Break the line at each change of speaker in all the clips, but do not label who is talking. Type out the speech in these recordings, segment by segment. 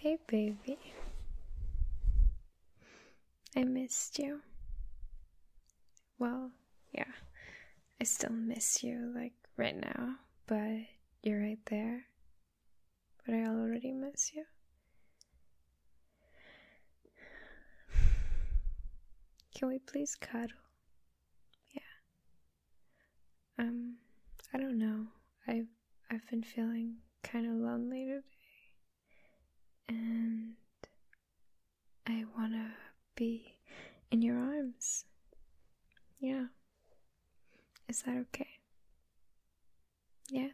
Hey, baby. I missed you. Well, yeah, I still miss you, like right now, but you're right there. But I already miss you. Can we please cuddle? Yeah. Um, I don't know. i I've been feeling kind of lonely today, and I wanna be in your arms. Yeah. Is that okay? Yeah.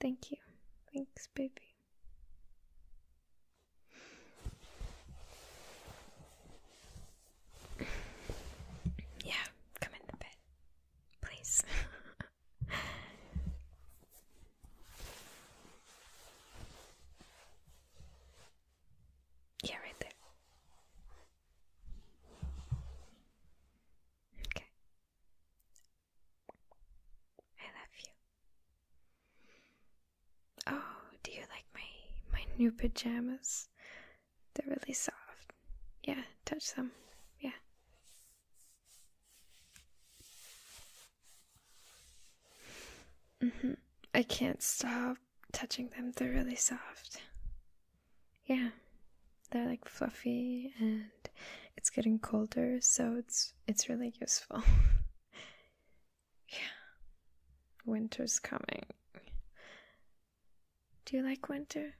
Thank you. Thanks, baby yeah, come in the bed, please. yeah, right there. Okay. I love you. Oh, do you like my my new pajamas? They're really soft. Yeah, touch them. Yeah. Mhm. I can't stop touching them. They're really soft. Yeah. They're like fluffy and it's getting colder, so it's it's really useful. Yeah. Winter's coming. Do you like winter?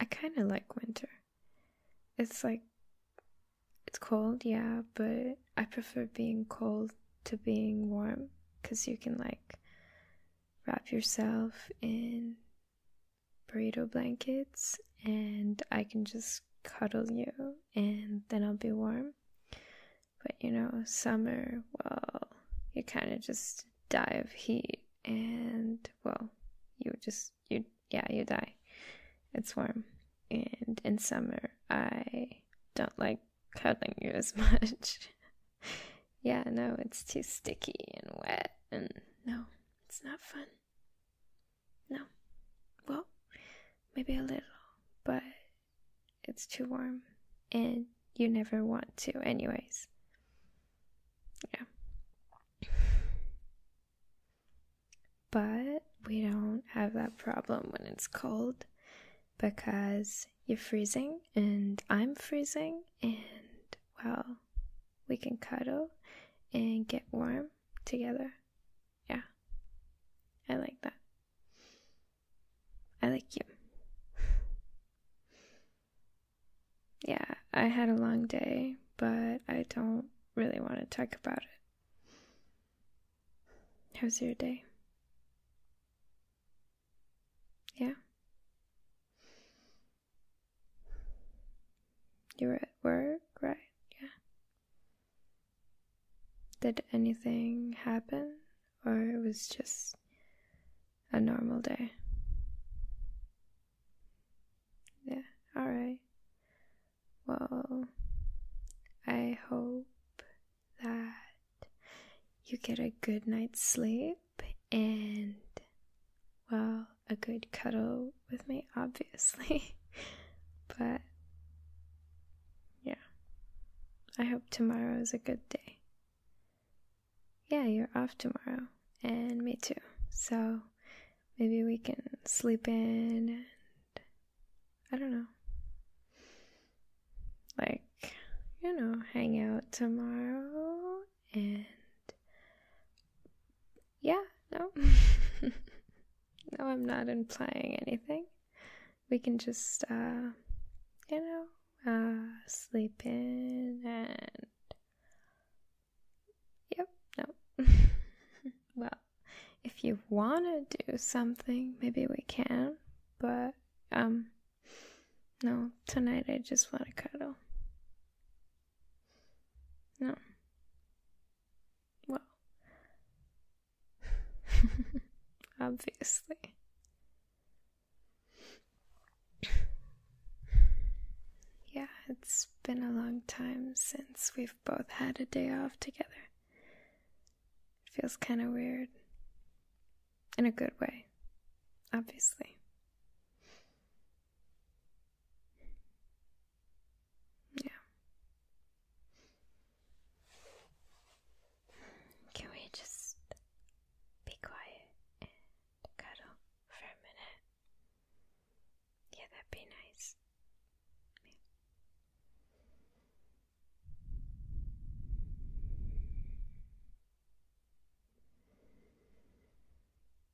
I kind of like winter. It's like it's cold, yeah, but I prefer being cold to being warm cuz you can like wrap yourself in burrito blankets and I can just cuddle you and then I'll be warm. But you know, summer, well, you kind of just die of heat and, well, you just, you, yeah, you die. It's warm. And in summer, I don't like cuddling you as much. yeah, no, it's too sticky and wet, and no, it's not fun. No. Well, maybe a little, but it's too warm and you never want to, anyways. Yeah. But we don't have that problem when it's cold because you're freezing and I'm freezing, and well, we can cuddle and get warm together yeah. I like that. I like you. yeah, I had a long day, but I don't really want to talk about it. How's your day? Yeah. You were at work, right? Yeah. Did anything happen, or it was just a normal day? Yeah, alright. Well, I hope that you get a good night's sleep and, well, a good cuddle with me, obviously. but yeah, I hope tomorrow is a good day. Yeah, you're off tomorrow, and me too. So maybe we can sleep in and I don't know. Like, you know, hang out tomorrow and yeah, no. no, I'm not implying anything. We can just, uh, you know, uh, sleep in and. Yep, no. well, if you want to do something, maybe we can, but, um, no, tonight I just want to cuddle. No. Well, obviously. Yeah, it's been a long time since we've both had a day off together. It feels kind of weird. In a good way, obviously. Yeah. Can we just be quiet and cuddle for a minute? Yeah, that'd be nice. I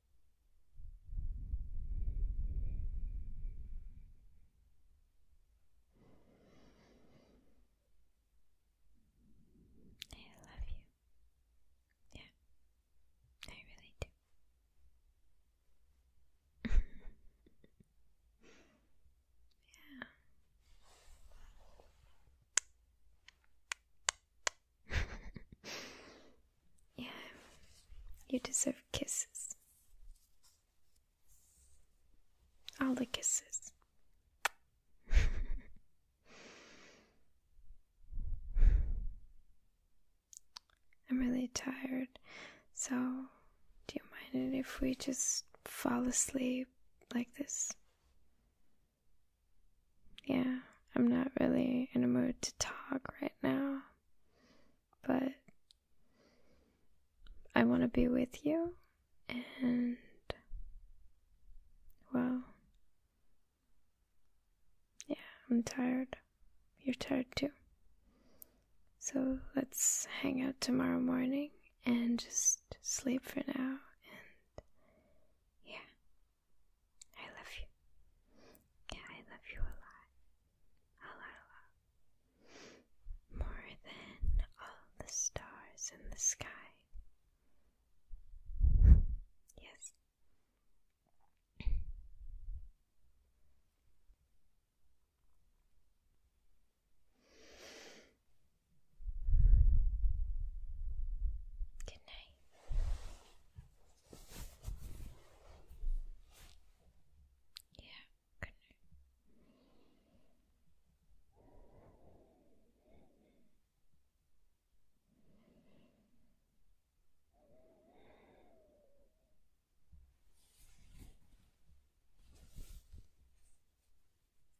love you. Yeah, I really do. yeah. yeah, you deserve kisses. All the kisses. I'm really tired, so do you mind if we just fall asleep like this? Yeah, I'm not really in a mood to talk right now, but I want to be with you, and well, yeah, I'm tired. You're tired too. So let's hang out tomorrow morning and just sleep for now. And yeah, I love you. Yeah, I love you a lot. A lot, a lot. More than all the stars in the sky. yes. Good night. Yeah, good